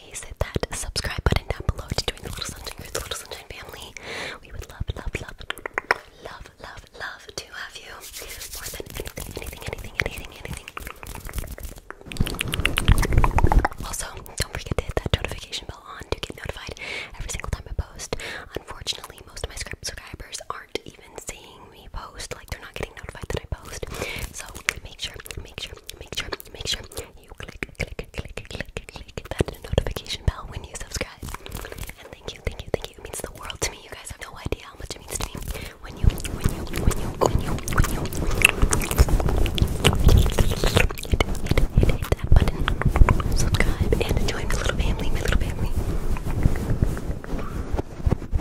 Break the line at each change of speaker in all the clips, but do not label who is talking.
hit that subscribe button down below to join the Little Sunshine Crew, the Little Sunshine family. We would love, love, love, love, love, love to have you more than anything, anything, anything, anything, anything. Also, don't forget to hit that notification bell on to get notified every single time I post. Unfortunately, most of my subscribers aren't even seeing me post, like they're not getting notified that I post. So make sure, make sure, make sure, make sure you click, click, click, click, click that notification bell when you subscribe. And thank you, thank you, thank you. It means the world to me. You guys have no idea how much it means to me when you, when you, when you, when you, when you, when you hit, hit, hit, hit that button, subscribe, and join my little family, my little family.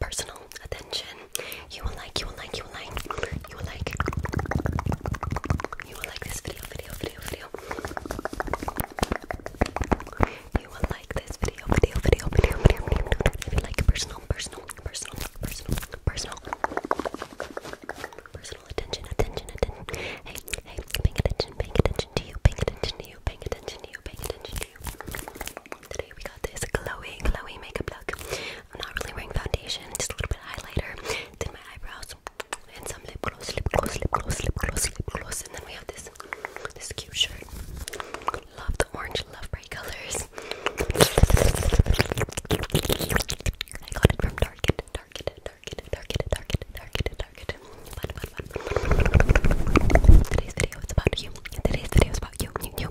personal attention. You will like, you will like, you will like, you will like, you will like this video, video, video, video. You will like this video, video, video, video, video, video. If you like personal, personal, personal, personal, personal, personal attention, attention, attention. Hey, hey, paying attention, paying attention to you, paying attention to you, paying attention to you, paying attention to Today we got this glowy, glowy makeup look. I'm not really wearing foundation, just a little bit of highlighter. Did my eyebrows and some lip gloss, lip gloss, lip gloss, lip gloss, lip gloss. And then we have this this cute shirt. Love the orange, love bright colors. I got it from Target, Target, Target, Target, Target, Target, Target. Fun, Today's video is about you. Today's video is about you, you, you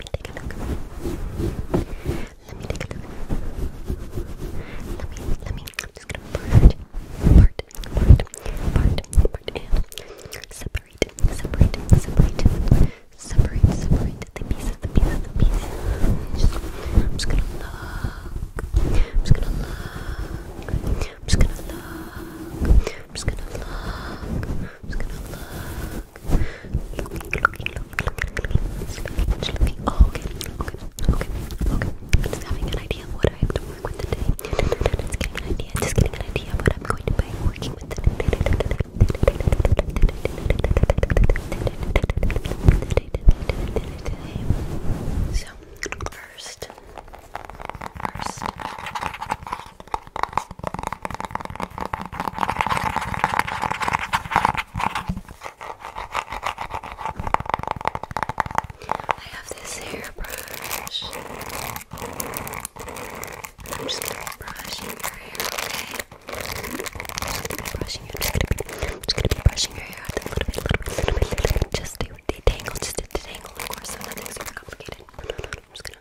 Let me take a look. Let me take a look. Let me, let me. I'm just gonna part, part, part, part, part, and separate, separate, separate, separate, separate the pieces, the pieces, the pieces. Just, just gonna look. just gonna look. just gonna look. just gonna look. just gonna look okay, okay, okay, okay. just having an idea of what I have to work with today. Just getting an idea, just getting an idea of what I'm going to be working with today. So, first, I have this hairbrush. I'm just gonna be brushing your hair, okay? I'm just gonna be brushing your hair. I'm just gonna be brushing your hair out a little bit, little bit, little bit, just to detangle, just to detangle, of course, so nothing super complicated. No, no, no, I'm just gonna.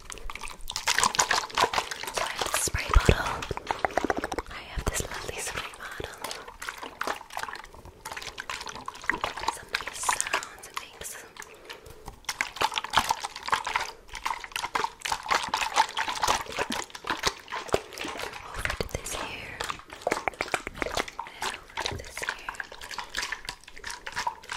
I have this spray bottle. I have this lovely spray bottle. Some little sounds it makes. Over this here. over this here.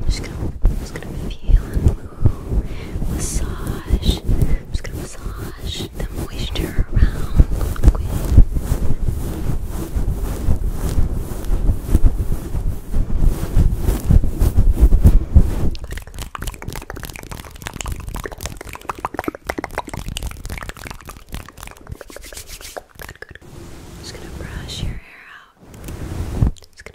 I'm just gonna, I'm just gonna feel and move, massage. I'm just gonna massage the moisture around I'm just gonna brush your hair out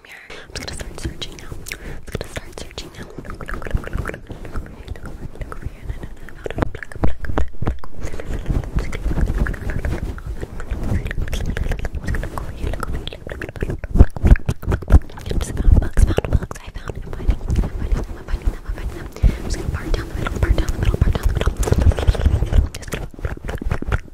comb your hair. I'm just gonna start searching now. I'm just gonna start searching now. Look, look, look, look, look, look over here, look over here, and then out of the pluck, pluck, pluck, I'm just found bugs, found bugs. I found them. I'm finding them. I'm finding them. I'm finding them. I'm finding them. I'm just gonna part down the middle, part down the middle, part down the middle. Just gonna pluck, pluck, pluck, pluck,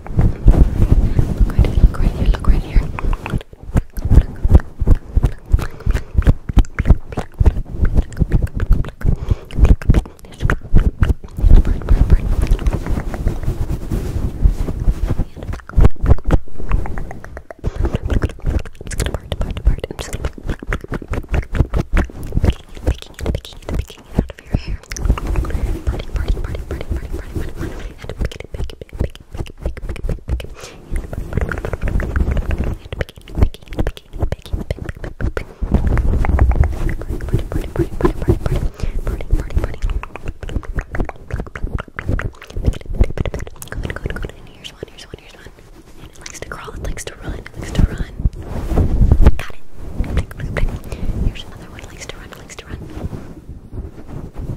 Look right here, look right here, look right here. Bird, bird, bird. It's gonna part, part, part. I'm just gonna picking it, picking it, picking it out of your hair. Parting, parting, parting, parting, parting, parting, parting, and pick it, pick it, Here's one, here's one, here's one. And it likes to crawl, it likes to run, it likes to run. Got it. Here's another one, likes to run, likes to run.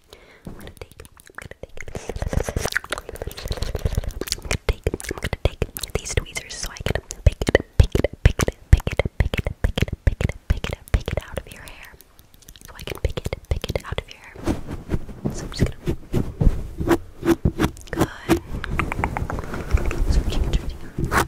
I'm gonna take, I'm gonna take, I'm gonna take, I'm gonna take these tweezers so I can pick it, pick it, pick it, pick it, pick it, pick it, pick it, pick it, pick it out of your hair. So I can pick it, pick it out of your hair. So I'm just gonna. Good. So I'm just gonna.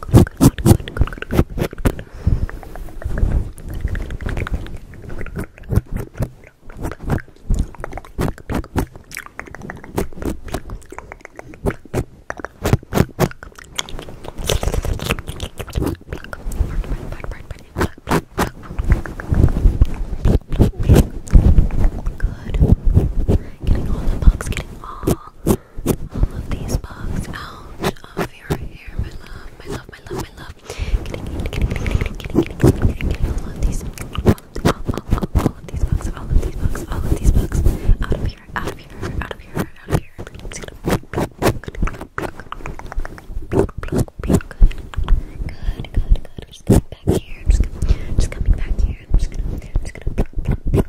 Good. Getting all the bugs, getting all all of these bugs out of your hair, my love, my love, my love, my love. All of these, all, all, all, all of these bugs, all of these bugs, all of these bugs, out of here, out of here, out of here, out of here. It's gonna just coming back just, just coming just gonna, just gonna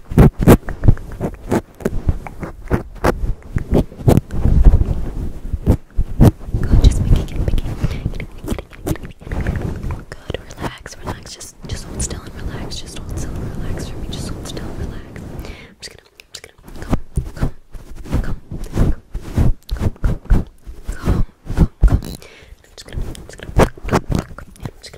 Good, just picking, picking. Good, relax, relax. Just, just hold still and relax. Just hold still and relax for me. Just hold still and relax. I'm just gonna, I'm just gonna come, come, come, come, come, come, come, come, come, come. I'm just gonna, I'm just gonna, pluck, pluck, pluck. I'm just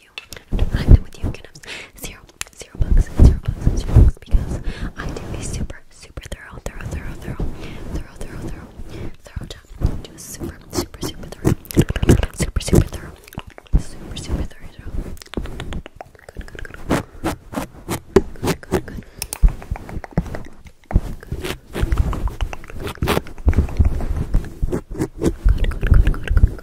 with you. I'm done with you. I'm gonna zero, zero bucks, zero bucks, zero bucks because I do a super, super thorough, thorough, thorough, thorough, thorough, thorough, thorough, thorough job. I do a super, super, super thorough, super, super thorough, super, super thorough job. Good, good, good, good, good, good. Good, good, good, good, good, good,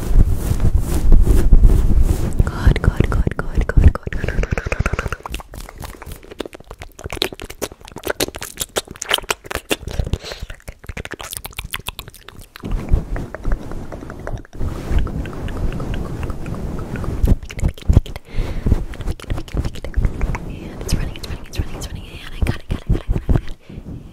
Good, good, good, good, good, good, and it's running, it's running, it's running, it's running, and I got it, got it, got it, got it, got it.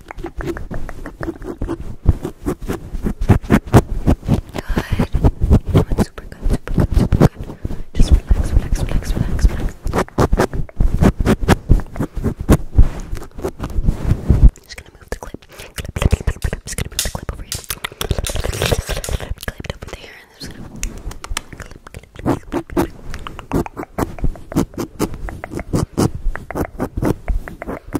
Doing super good, super good, super good. Just relax, relax, relax, relax, relax. Just gonna move the clip. Clip, clip, clip, clip, clip. Just gonna move the clip over here. Clip it over there. And just gonna clip, clip, clip, clip, clip.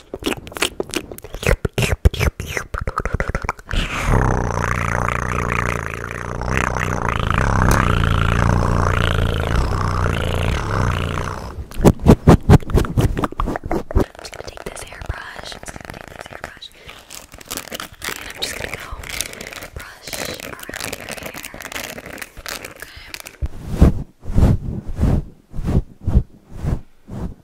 I'm just gonna take this hairbrush. I'm just gonna take this hairbrush. And I'm just gonna go brush around your hair. Okay.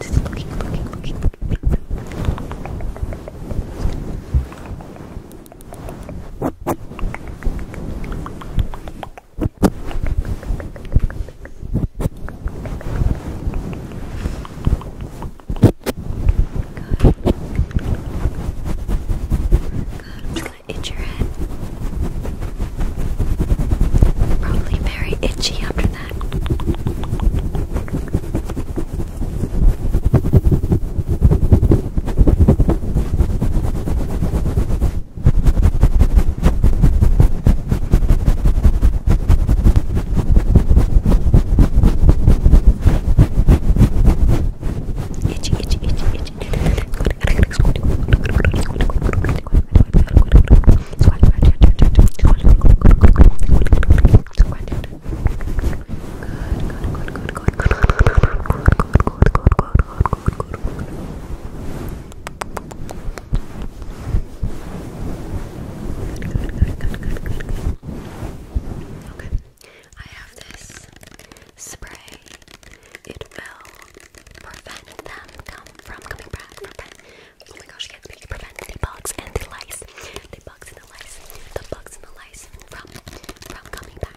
Just looking, looking, looking. Good. Good. I'm just gonna itch your head. Good. Probably very itchy after that. Itchy, itchy, itchy, itchy. Okay, I have this spray. It fell prevent them from coming back. Oh my gosh, you yes, please prevent the bugs and the lice. The bugs and the lice. The bugs and the lice from coming back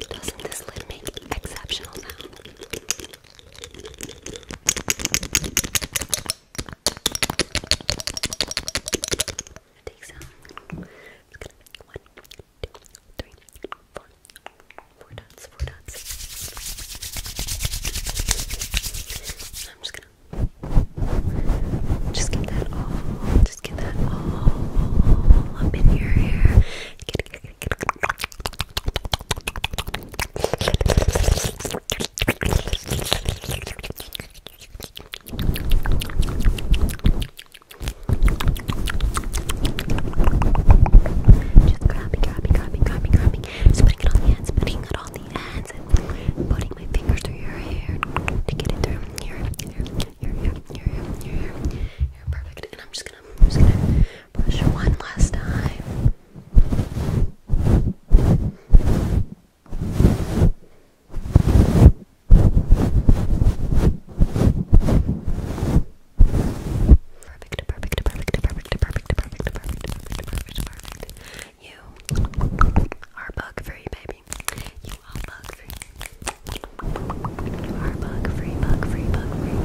doesn't this lid make exceptional sound? take some. I'm just gonna make one, two, three, four, four dots, four dots. I'm just gonna just get that all, just get that all up in your hair. Just grabbing, grabbing, grabbing, grabbing, grabbing. Just putting it on the hands, putting it on the hands, and putting my fingers through your hair to get it through your hair, your hair, your hair, your hair. Perfect. And I'm just gonna, I'm just gonna brush one last time. Perfect, perfect, perfect, perfect, perfect, perfect, perfect, perfect, perfect, perfect. You are bug free, baby. You are bug free. are bug free, bug free, bug free.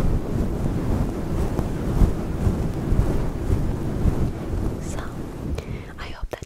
So, I hope that